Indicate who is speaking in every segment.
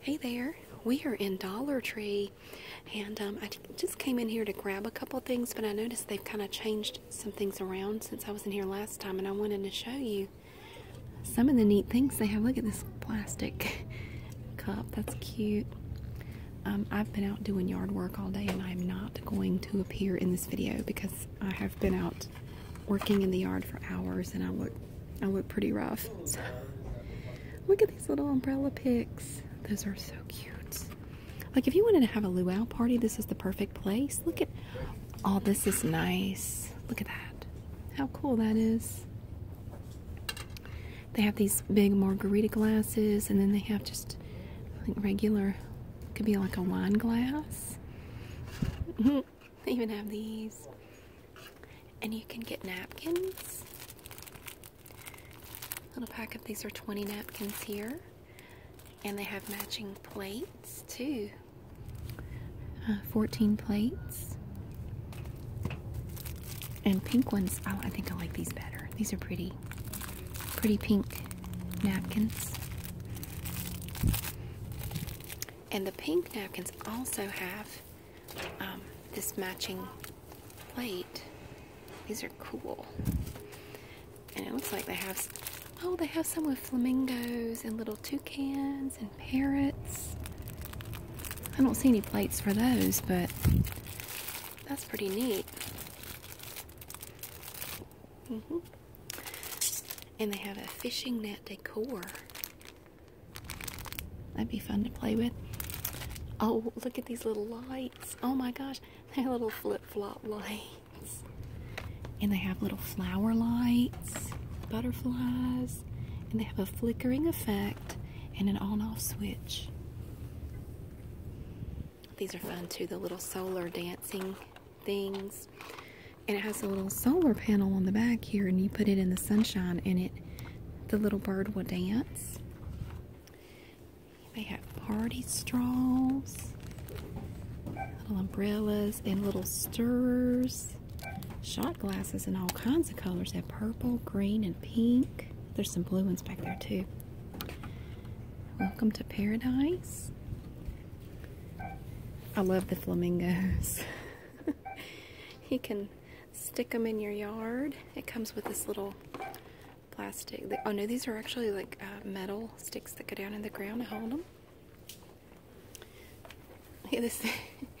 Speaker 1: Hey there, we are in Dollar Tree and um, I just came in here to grab a couple things but I noticed they've kind of changed some things around since I was in here last time and I wanted to show you some of the neat things they have. Look at this plastic cup, that's cute. Um, I've been out doing yard work all day and I'm not going to appear in this video because I have been out working in the yard for hours and I look I look pretty rough. look at these little umbrella picks. Those are so cute. Like if you wanted to have a luau party, this is the perfect place. Look at, all oh, this is nice. Look at that. How cool that is. They have these big margarita glasses and then they have just I think regular, could be like a wine glass. Mm-hmm. They even have these. And you can get napkins. Little pack of these are 20 napkins here. And they have matching plates too. Uh, 14 plates. And pink ones, oh, I think I like these better. These are pretty, pretty pink napkins. And the pink napkins also have um, this matching plate. These are cool. And it looks like they have, oh, they have some with flamingos and little toucans and parrots. I don't see any plates for those, but that's pretty neat. Mm-hmm. And they have a fishing net decor. That'd be fun to play with. Oh, look at these little lights. Oh my gosh, they're little flip flop lights. And they have little flower lights, butterflies, and they have a flickering effect and an on off switch. These are fun too, the little solar dancing things. And it has a little solar panel on the back here, and you put it in the sunshine, and it the little bird will dance. They have party straws, little umbrellas, and little stirrers, shot glasses in all kinds of colors. They have purple, green, and pink. There's some blue ones back there, too. Welcome to paradise. I love the flamingos. you can stick them in your yard. It comes with this little plastic. Oh no, these are actually like uh, metal sticks that go down in the ground to hold them. Look at this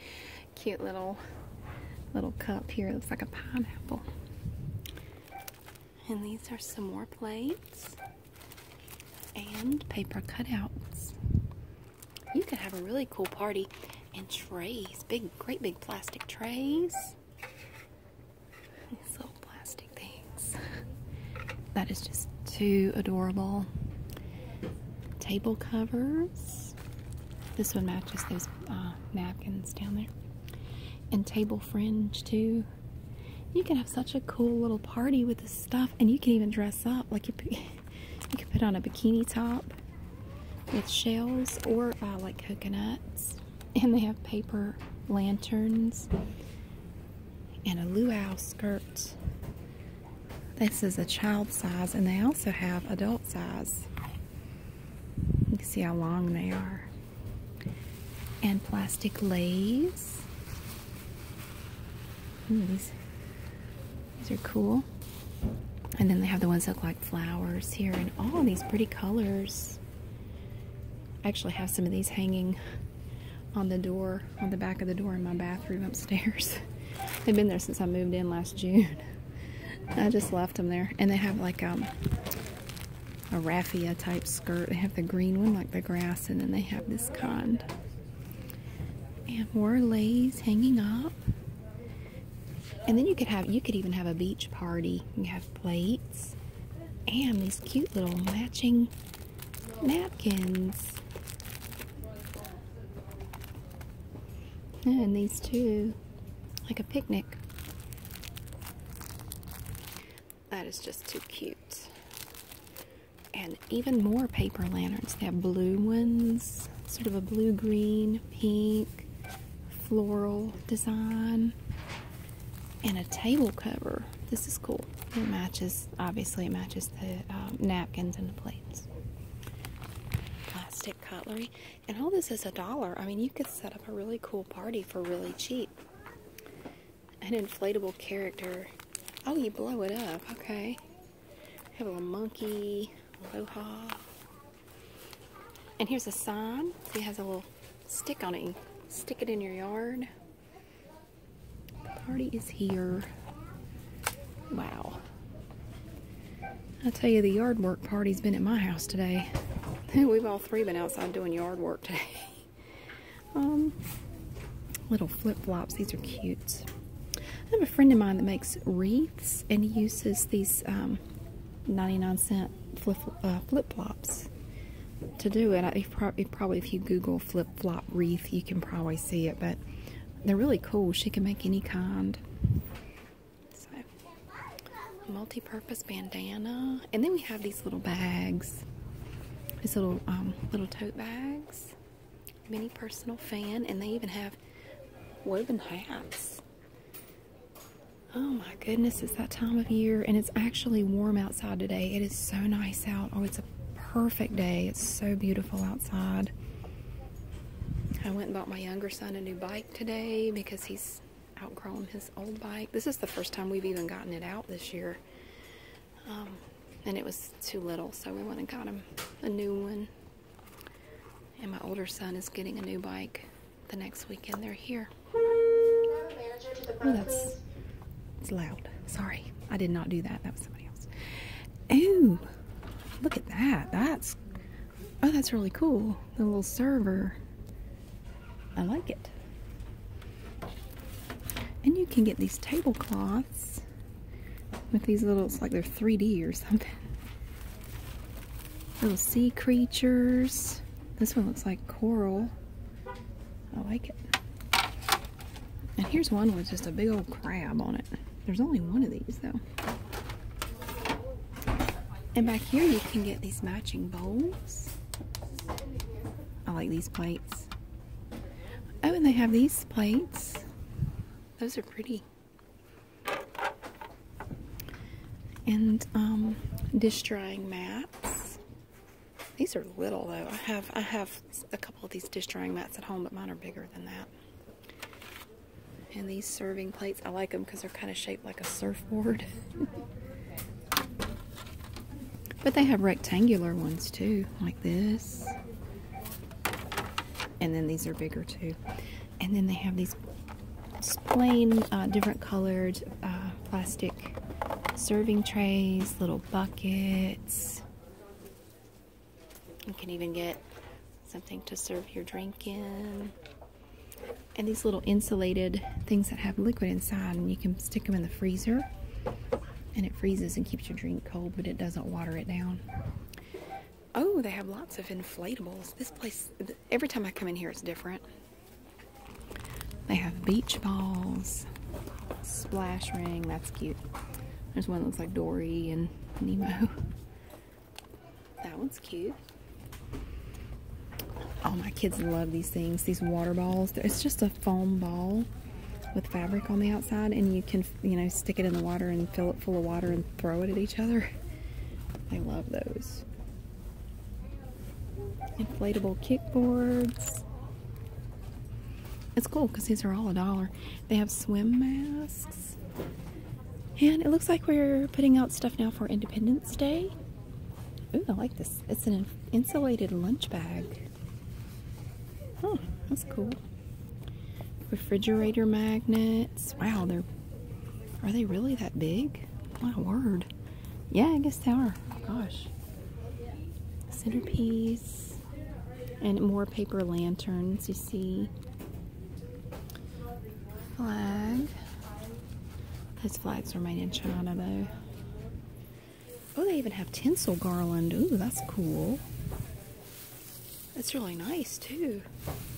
Speaker 1: cute little little cup here. It looks like a pineapple. And these are some more plates and paper cutouts you can have a really cool party and trays big great big plastic trays these little plastic things that is just too adorable table covers this one matches those uh, napkins down there and table fringe too you can have such a cool little party with this stuff and you can even dress up like you You can put on a bikini top with shells or uh, like coconuts. And they have paper lanterns and a luau skirt. This is a child size and they also have adult size. You can see how long they are. And plastic lays. these these are cool. And then they have the ones that look like flowers here and all these pretty colors. I actually have some of these hanging on the door, on the back of the door in my bathroom upstairs. They've been there since I moved in last June. I just left them there. And they have like um, a raffia type skirt. They have the green one like the grass and then they have this kind. And more lays hanging up. And then you could have you could even have a beach party. You have plates and these cute little matching napkins. And these two, like a picnic. That is just too cute. And even more paper lanterns. They have blue ones sort of a blue green, pink, floral design, and a table cover. This is cool. It matches, obviously, it matches the um, napkins and the plates. Plastic cutlery, and all this is a dollar. I mean, you could set up a really cool party for really cheap. An inflatable character. Oh, you blow it up. Okay have a little monkey, loha. And here's a sign. It has a little stick on it. stick it in your yard. The party is here. Wow. I tell you, the yard work party's been at my house today. We've all three been outside doing yard work today. Um, little flip-flops. These are cute. I have a friend of mine that makes wreaths and he uses these um, 99 cent uh, flip, flops to do it. probably, if you Google flip flop wreath, you can probably see it, but they're really cool. She can make any kind. multi purpose bandana. And then we have these little bags, these little, um, little tote bags mini personal fan, and they even have woven hats. Oh my goodness, it's that time of year, and it's actually warm outside today. It is so nice out. Oh, it's a perfect day. It's so beautiful outside. I went and bought my younger son a new bike today because he's outgrown his old bike. This is the first time we've even gotten it out this year. Um, and it was too little, so we went and got him a new one. And my older son is getting a new bike the next weekend they're here. Oh, that's it's loud. Sorry, I did not do that. That was somebody else. Ooh, look at that. That's oh, that's really cool. The little server. I like it. And you can get these tablecloths with these little. It's like they're 3D or something. Little sea creatures. This one looks like coral. I like it. And here's one with just a big old crab on it. There's only one of these though. And back here you can get these matching bowls. I like these plates. Oh, and they have these plates. Those are pretty. And um, dish drying mats. These are little though. I have I have a couple of these dish drying mats at home, but mine are bigger than that. And these serving plates, I like them because they're kind of shaped like a surfboard. but they have rectangular ones too, like this. And then these are bigger too and then they have these plain uh, different colored uh, plastic serving trays, little buckets. You can even get something to serve your drink in. And these little insulated things that have liquid inside and you can stick them in the freezer and it freezes and keeps your drink cold but it doesn't water it down. Oh, they have lots of inflatables. This place, every time I come in here, it's different. They have beach balls, splash ring. That's cute. There's one that looks like Dory and Nemo. That one's cute. Oh, my kids love these things. These water balls. It's just a foam ball with fabric on the outside, and you can, you know, stick it in the water and fill it full of water and throw it at each other. I love those. Inflatable kickboards. It's cool because these are all a dollar. They have swim masks. And it looks like we're putting out stuff now for Independence Day. Ooh, I like this. It's an insulated lunch bag. Huh, that's cool. Refrigerator magnets. Wow, they're are they really that big? My word. Yeah, I guess they are. Gosh. Centerpiece. And more paper lanterns, you see. Flag. Those flags remain in China, though. Oh, they even have tinsel garland. Ooh, that's cool. That's really nice too.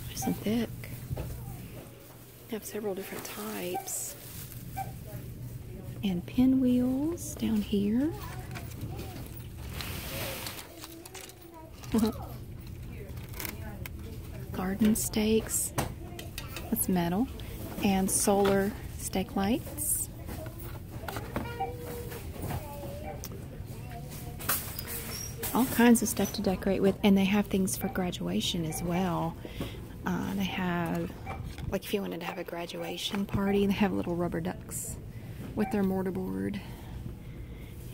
Speaker 1: Nice and thick. have several different types. And pinwheels down here. Garden stakes. That's metal. And solar stake lights all kinds of stuff to decorate with. And they have things for graduation as well. Uh, they have, like if you wanted to have a graduation party, they have little rubber ducks with their mortar board,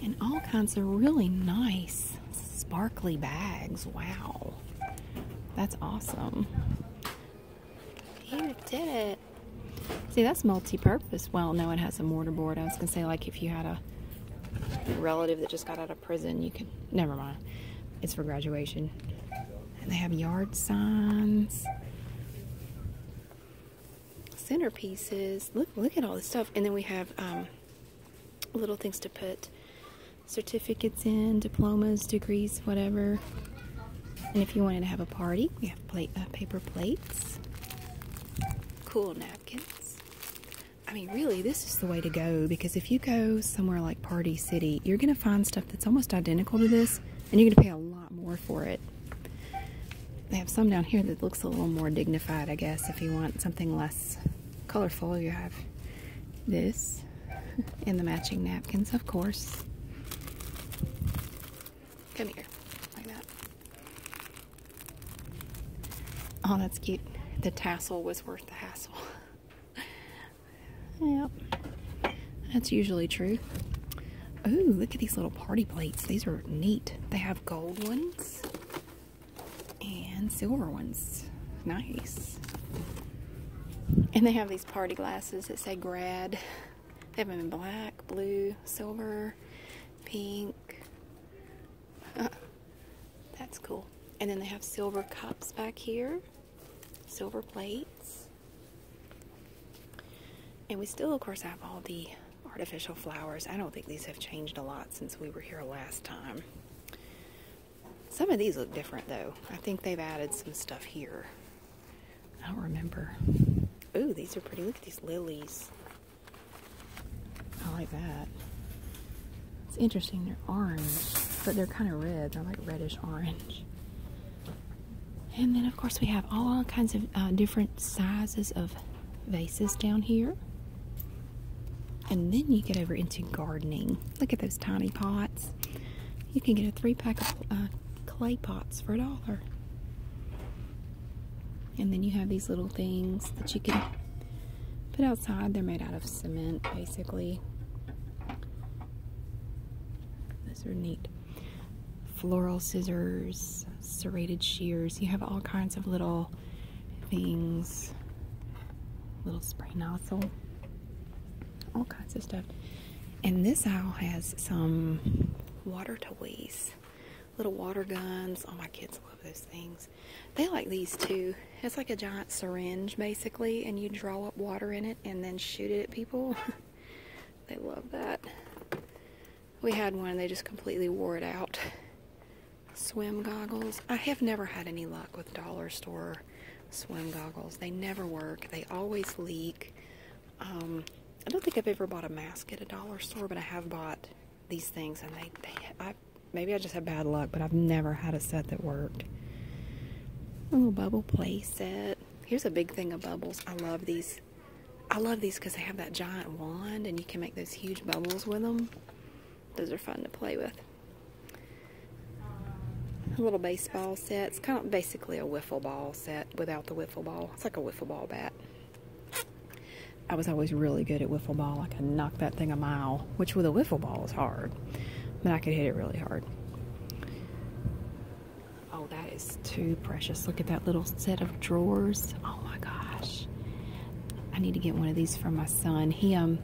Speaker 1: And all kinds of really nice, sparkly bags. Wow. That's awesome. You did it. See, that's multi-purpose. Well, no, it has a mortar board. I was going to say, like, if you had a relative that just got out of prison. You can, never mind. It's for graduation. And they have yard signs, centerpieces. Look, look at all this stuff. And then we have um, little things to put certificates in, diplomas, degrees, whatever. And if you wanted to have a party, we have uh, paper plates, cool napkins. I mean, really, this is the way to go because if you go somewhere like Party City, you're going to find stuff that's almost identical to this and you're going to pay a lot more for it. They have some down here that looks a little more dignified, I guess, if you want something less colorful. You have this and the matching napkins, of course. Come here, like that. Oh, that's cute. The tassel was worth the hassle. yep. That's usually true. Oh, look at these little party plates. These are neat. They have gold ones and silver ones. Nice. And they have these party glasses that say grad. They have them in black, blue, silver, pink, uh, that's cool. And then they have silver cups back here, silver plates. And we still, of course, have all the artificial flowers. I don't think these have changed a lot since we were here last time. Some of these look different, though. I think they've added some stuff here. I don't remember. Oh, these are pretty. Look at these lilies. I like that. It's interesting, they're orange, but they're kind of red. They're like reddish orange. And then, of course, we have all kinds of uh, different sizes of vases down here. And then you get over into gardening. Look at those tiny pots. You can get a three pack of uh, clay pots for a dollar. And then you have these little things that you can put outside. They're made out of cement, basically. Those are neat. Floral scissors, serrated shears. You have all kinds of little things. Little spray nozzle. All kinds of stuff. And this aisle has some water toys. Little water guns. Oh, my kids love those things. They like these too. It's like a giant syringe basically and you draw up water in it and then shoot it at people. they love that. We had one and they just completely wore it out. Swim goggles. I have never had any luck with dollar store swim goggles. They never work. They always leak. Um, I don't think I've ever bought a mask at a dollar store, but I have bought these things, and they, I, maybe I just had bad luck, but I've never had a set that worked. A little bubble play set. Here's a big thing of bubbles. I love these. I love these because they have that giant wand, and you can make those huge bubbles with them. Those are fun to play with. A little baseball set. It's kind of basically a wiffle ball set without the wiffle ball. It's like a wiffle ball bat. I was always really good at wiffle ball. I could knock that thing a mile, which with a wiffle ball is hard, but I could hit it really hard. Oh, that is too precious. Look at that little set of drawers. Oh my gosh. I need to get one of these for my son. He um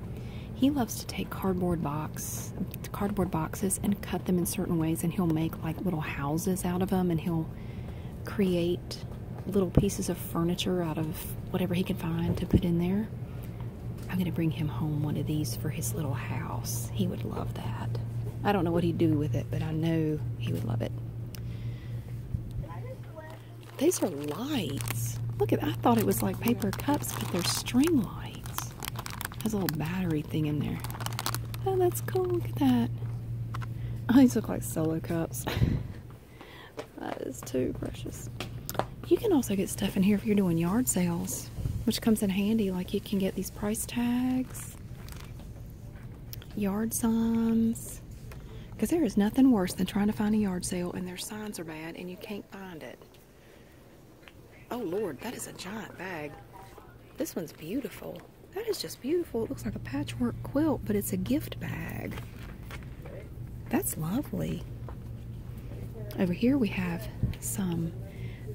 Speaker 1: he loves to take cardboard box cardboard boxes and cut them in certain ways and he'll make like little houses out of them and he'll create little pieces of furniture out of whatever he can find to put in there. I'm going to bring him home one of these for his little house. He would love that. I don't know what he'd do with it, but I know he would love it. These are lights. Look at I thought it was like paper cups, but they're string lights. Has a little battery thing in there. Oh, that's cool. Look at that. Oh, these look like solo cups. That is too precious. You can also get stuff in here if you're doing yard sales, which comes in handy. Like you can get these price tags, yard signs, because there is nothing worse than trying to find a yard sale and their signs are bad and you can't find it. Oh Lord, that is a giant bag. This one's beautiful. That is just beautiful. It looks like a patchwork quilt, but it's a gift bag. That's lovely. Over here we have some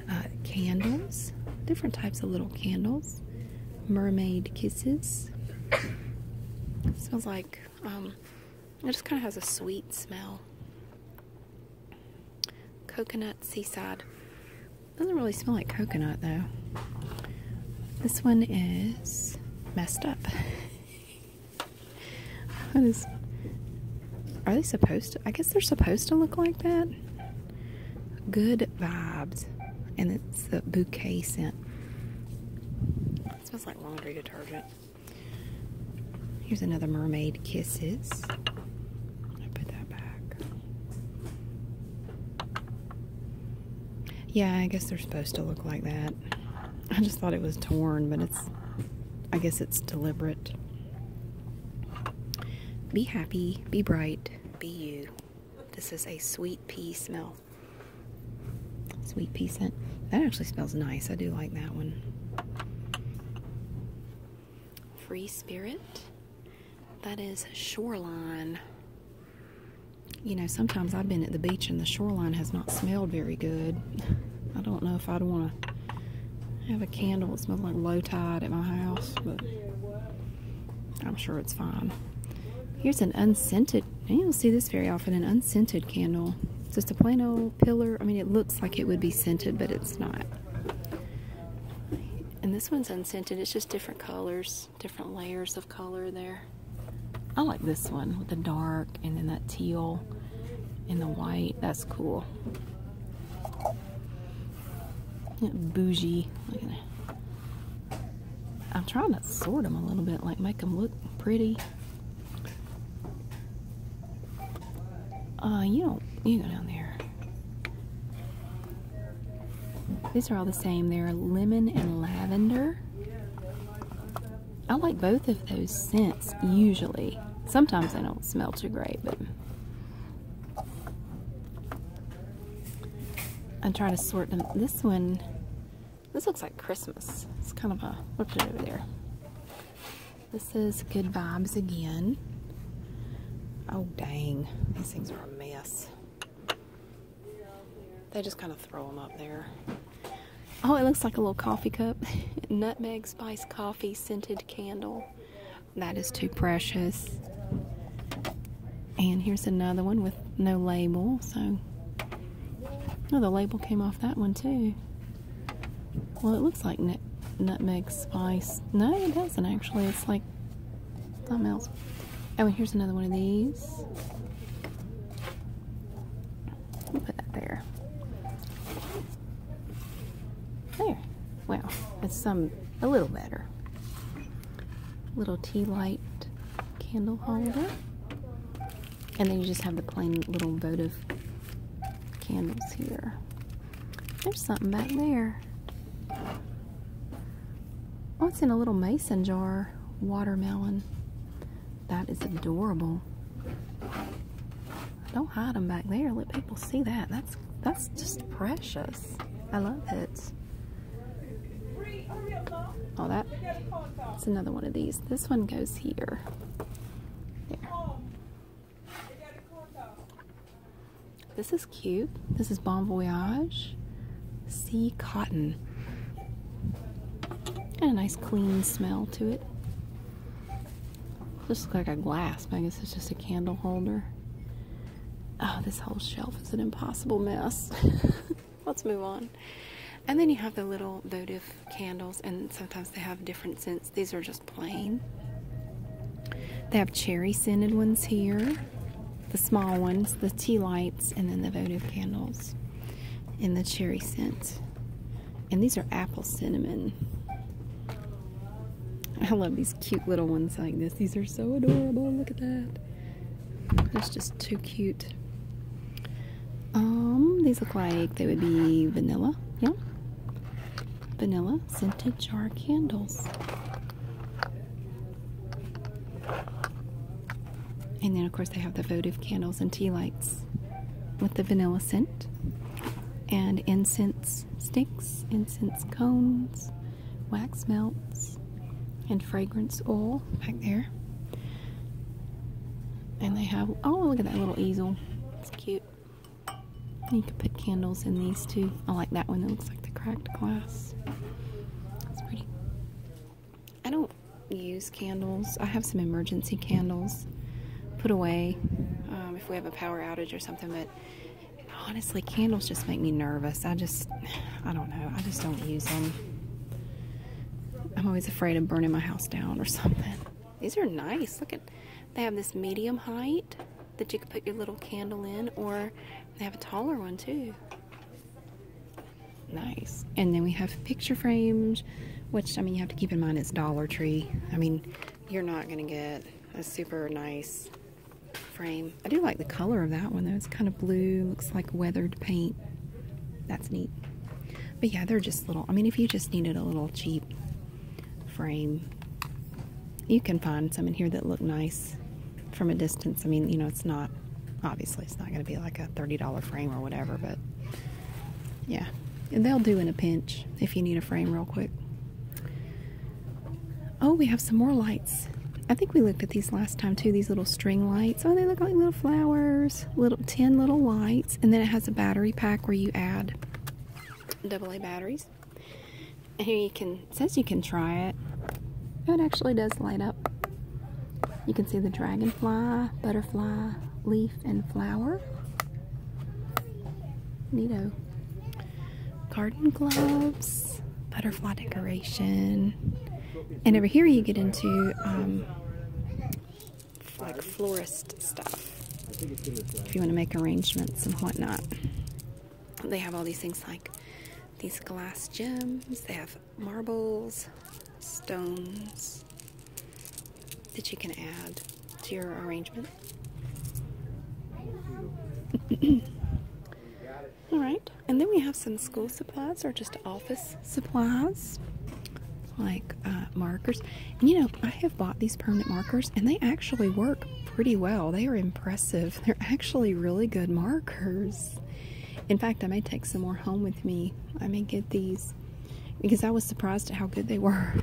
Speaker 1: uh, candles, different types of little candles, mermaid kisses. smells like, um, it just kind of has a sweet smell. Coconut seaside. Doesn't really smell like coconut though. This one is messed up. That is. Are they supposed to? I guess they're supposed to look like that. Good vibes. And it's the bouquet scent. smells like laundry detergent. Here's another mermaid kisses. put that back. Yeah, I guess they're supposed to look like that. I just thought it was torn, but it's, I guess it's deliberate. Be happy, be bright, be you. This is a sweet pea smell. Sweet pea scent. That actually smells nice. I do like that one. Free Spirit. That is Shoreline you know, sometimes I've been at the beach and the shoreline has not smelled very good. I don't know if I'd want to have a candle that smells like low tide at my house, but I'm sure it's fine. Here's an unscented, you don't see this very often, an unscented candle. just a plain old pillar. I mean, it looks like it would be scented, but it's not. And this one's unscented. It's just different colors, different layers of color there. I like this one with the dark and then that teal and the white. That's cool. Bougie. I'm trying to sort them a little bit, like make them look pretty. Uh, you don't, you go down there. These are all the same. They're lemon and lavender. I like both of those scents usually. Sometimes they don't smell too great, but I am trying to sort them. This one, this looks like Christmas. It's kind of a, what's it over there? This is Good Vibes again. Oh dang, these things are a mess. They just kind of throw them up there. Oh, it looks like a little coffee cup. Nutmeg spice coffee scented candle. That is too precious. And here's another one with no label. So, oh, the label came off that one too. Well, it looks like nut nutmeg spice. No, it doesn't actually. It's like something else. Oh, and here's another one of these put that there. There. Well, it's some a little better. Little tea light candle holder. And then you just have the plain little votive candles here. There's something back there. Oh, it's in a little mason jar. Watermelon. That is adorable. Don't hide them back there. Let people see that. That's that's just precious. I love it. Oh, that. It's another one of these. This one goes here. There. This is cute. This is Bon Voyage Sea Cotton. Got a nice clean smell to it. Just look like a glass, but I guess it's just a candle holder. Oh, this whole shelf is an impossible mess. Let's move on. And then you have the little votive candles, and sometimes they have different scents. These are just plain. They have cherry scented ones here, the small ones, the tea lights, and then the votive candles in the cherry scent. And these are apple cinnamon. I love these cute little ones like this. These are so adorable. Look at that. That's just too cute. Um, these look like they would be vanilla. Yeah. Vanilla scented jar candles. And then, of course, they have the votive candles and tea lights with the vanilla scent and incense sticks, incense cones, wax melts, and fragrance oil back there. And they have oh look at that little easel. It's cute. You can put candles in these too. I like that one that looks like the cracked glass. It's pretty. I don't use candles. I have some emergency candles put away um, if we have a power outage or something, but honestly, candles just make me nervous. I just, I don't know. I just don't use them. I'm always afraid of burning my house down or something. These are nice. Look at, they have this medium height that you could put your little candle in, or they have a taller one too. Nice. And then we have picture frames which I mean, you have to keep in mind it's Dollar Tree. I mean, you're not going to get a super nice frame. I do like the color of that one though. It's kind of blue, looks like weathered paint. That's neat. But yeah, they're just little. I mean, if you just needed a little cheap frame, you can find some in here that look nice from a distance. I mean, you know, it's not obviously it's not going to be like a $30 frame or whatever, but yeah, they'll do in a pinch if you need a frame real quick. Oh, we have some more lights. I think we looked at these last time too. These little string lights. Oh, they look like little flowers. Little ten little lights, and then it has a battery pack where you add double A batteries. And here you can says you can try it. Oh, it actually does light up. You can see the dragonfly, butterfly, leaf, leaf and flower. Neato. Garden gloves, butterfly decoration. And over here you get into um, like florist stuff. If you want to make arrangements and whatnot. They have all these things like these glass gems. They have marbles, stones, that you can add to your arrangement. All right, and then we have some school supplies or just office supplies like uh, markers. you know, I have bought these permanent markers and they actually work pretty well. They are impressive. They're actually really good markers. In fact, I may take some more home with me. I may get these because I was surprised at how good they were.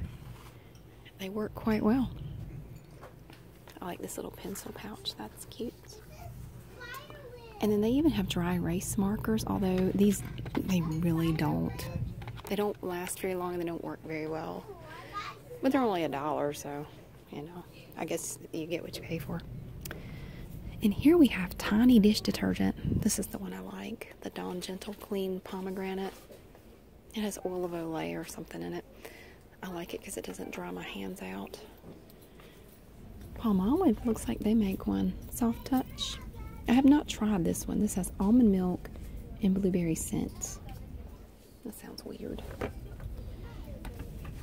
Speaker 1: They work quite well. I like this little pencil pouch, that's cute. And then they even have dry erase markers, although these, they really don't. They don't last very long and they don't work very well. But they're only a dollar, so, you know, I guess you get what you pay for. And here we have tiny dish detergent. This is the one I like the Dawn Gentle Clean Pomegranate. It has olive oil or something in it. I like it because it doesn't dry my hands out. Palm Olive looks like they make one. Soft Touch. I have not tried this one. This has almond milk and blueberry scent. That sounds weird.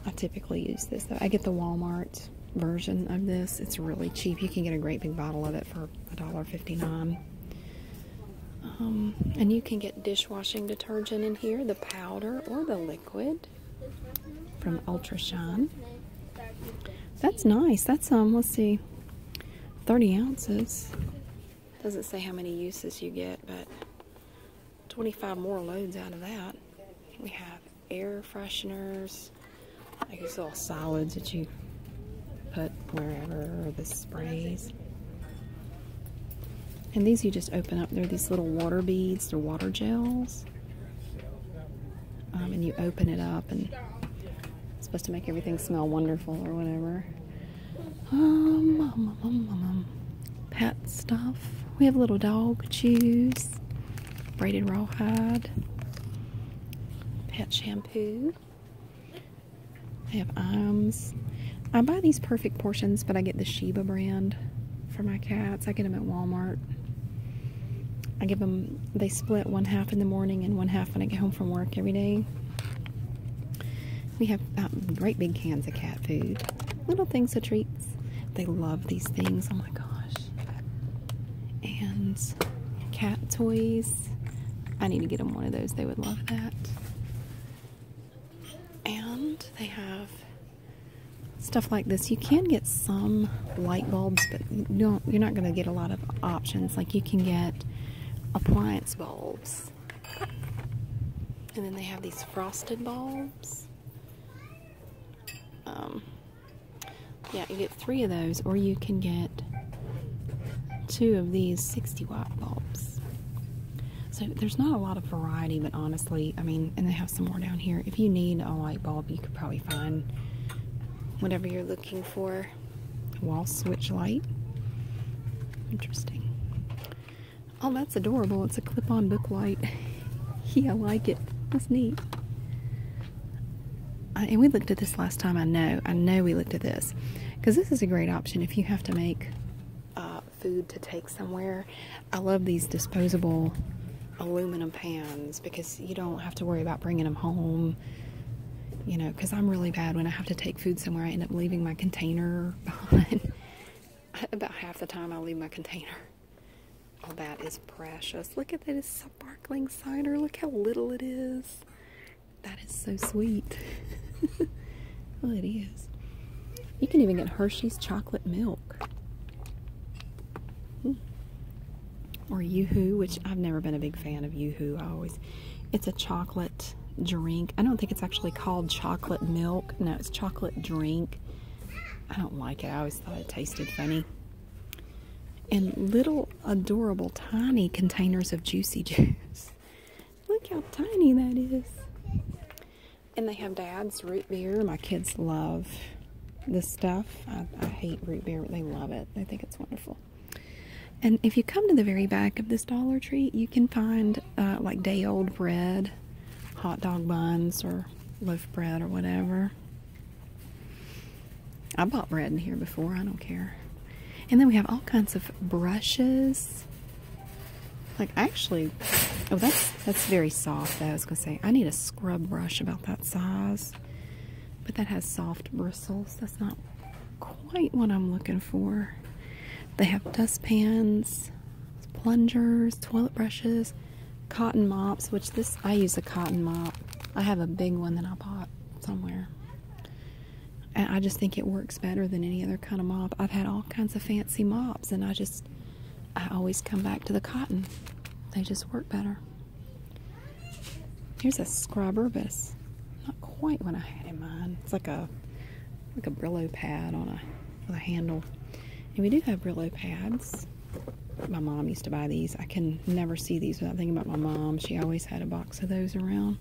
Speaker 1: I typically use this though. I get the Walmart version of this. It's really cheap. You can get a great big bottle of it for for $1.59. Um, and you can get dishwashing detergent in here, the powder or the liquid from Ultra Shine. That's nice. That's, um, let's see, 30 ounces. Doesn't say how many uses you get, but 25 more loads out of that. We have air fresheners, like these little solids that you put wherever, or the sprays. And these you just open up. They're these little water beads. They're water gels. Um, and you open it up and it's supposed to make everything smell wonderful or whatever. um, um, um Pet stuff. We have little dog chews. Braided rawhide. Pet shampoo. I have Iams. I buy these perfect portions, but I get the Sheba brand for my cats. I get them at Walmart. I give them, they split one half in the morning and one half when I get home from work every day. We have um, great big cans of cat food. Little things of treats. They love these things. Oh my gosh. And cat toys. I need to get them one of those. They would love that. And they have stuff like this. You can get some light bulbs, but you don't, you're not going to get a lot of options. Like you can get appliance bulbs. And then they have these frosted bulbs. Um, yeah, you three of those, or you can get two of these 60 watt bulbs. So there's not a lot of variety, but honestly, I mean, and they have some more down here. If you need a light bulb, you could probably find whatever you're looking for. Wall switch light. Interesting. Oh, that's adorable. It's a clip on book light. yeah, I like it. That's neat and we looked at this last time. I know, I know we looked at this because this is a great option if you have to make uh, food to take somewhere. I love these disposable aluminum pans because you don't have to worry about bringing them home. You know, because I'm really bad when I have to take food somewhere. I end up leaving my container behind. About half the time I leave my container. All oh, that is precious. Look at that. sparkling cider. Look how little it is. That is so sweet. well, it is. You can even get Hershey's chocolate milk. Hmm. Or Yoo-Hoo, which I've never been a big fan of Yoo-Hoo. I always, it's a chocolate drink. I don't think it's actually called chocolate milk. No, it's chocolate drink. I don't like it. I always thought it tasted funny and little adorable tiny containers of juicy juice. Look how tiny that is. And they have dad's root beer. My kids love this stuff. I, hate root beer, but they love it. They think it's wonderful. And if you come to the very back of this Dollar Tree, you can find uh, like day old bread, hot dog buns, or loaf bread, or whatever. I bought bread in here before, I don't care. And then we have all kinds of brushes. Like actually, oh that's that's very soft. I was gonna say I need a scrub brush about that size, but that has soft bristles. That's not quite what I'm looking for. They have dust pans, plungers, toilet brushes, cotton mops. Which this I use a cotton mop. I have a big one that I bought somewhere. I just think it works better than any other kind of mop. I've had all kinds of fancy mops, and I just, I always come back to the cotton. They just work better. Here's a scrubber, bus, not quite what I had in mind. It's like a, like a Brillo pad on a, with a handle. And we do have Brillo pads. My mom used to buy these. I can never see these without thinking about my mom. She always had a box of those around.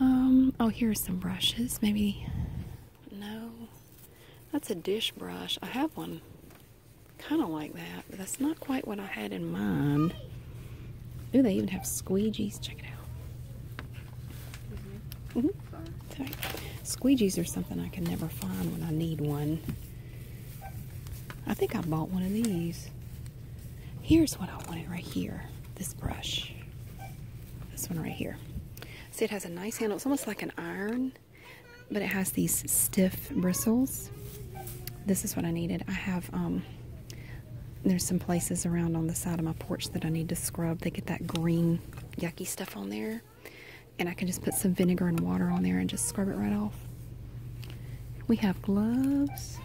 Speaker 1: Um, oh, here are some brushes. Maybe. No. That's a dish brush. I have one kind of like that, but that's not quite what I had in mind. Ooh, they even have squeegees. Check it out. Mm-hmm. Mm-hmm. Squeegees are something I can never find when I need one. I think I bought one of these. Here's what I wanted right here. This brush. This one right here. See, it has a nice handle. It's almost like an iron, but it has these stiff bristles. This is what I needed. I have, um, there's some places around on the side of my porch that I need to scrub. They get that green yucky stuff on there. And I can just put some vinegar and water on there and just scrub it right off. We have gloves.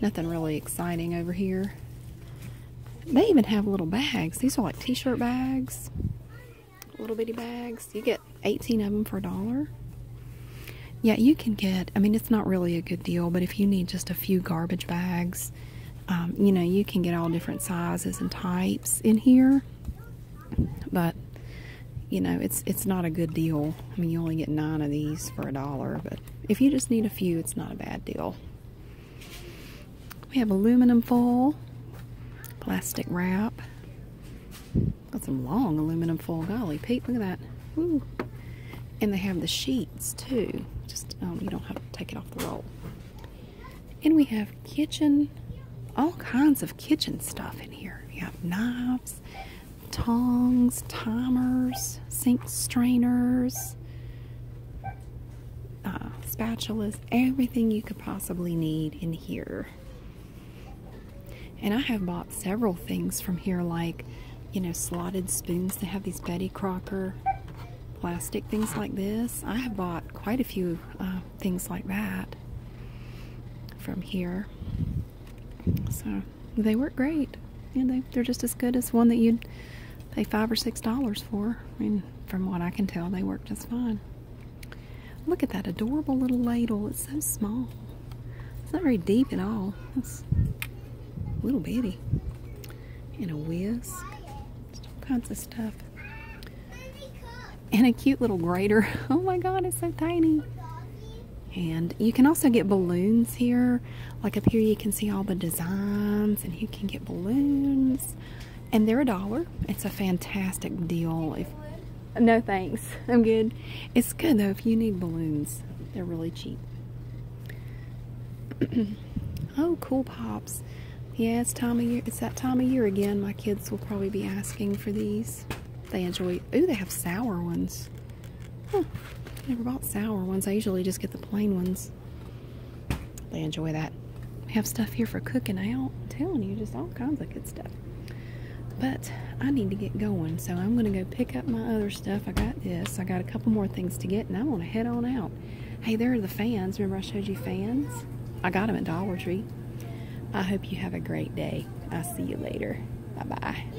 Speaker 1: Nothing really exciting over here. They even have little bags. These are like t-shirt bags. Little bitty bags. You get 18 of them for a dollar. Yeah, you can get, I mean, it's not really a good deal, but if you need just a few garbage bags, um, you know, you can get all different sizes and types in here. But you know, it's it's not a good deal. I mean, you only get nine of these for a dollar, but if you just need a few, it's not a bad deal. We have aluminum foil, plastic wrap. Got some long aluminum foil. Golly, Pete, look at that. And they have the sheets too. Just um, you don't have to take it off the roll. And we have kitchen, all kinds of kitchen stuff in here. You have knives tongs, timers, sink strainers, uh, spatulas, everything you could possibly need in here. And I have bought several things from here, like, you know, slotted spoons. They have these Betty Crocker plastic things like this. I have bought quite a few uh, things like that from here. So they work great. and they they're just as good as one that you'd pay five or six dollars for. I mean, from what I can tell, they work just fine. Look at that adorable little ladle. It's so small. It's not very deep at all. It's a little baby. And a whisk. Just all kinds of stuff. And a cute little grater. Oh my god, it's so tiny. And you can also get balloons here. Like up here, you can see all the designs, and you can get balloons. And they're a dollar. It's a fantastic deal. If no thanks, I'm good. It's good though if you need balloons. They're really cheap. oh, cool pops. Yeah, it's time of year. It's that time of year again. My kids will probably be asking for these. They enjoy. Oh, they have sour ones. Huh. I never bought sour ones. I usually just get the plain ones. They enjoy that. We have stuff here for cooking out. I'm telling you, just all kinds of good stuff. But I need to get going, so I'm going to go pick up my other stuff. I got this. I got a couple more things to get, and I want to head on out. Hey, there are the fans. Remember I showed you fans? I got them at Dollar Tree. I hope you have a great day. I'll see you later. Bye-bye.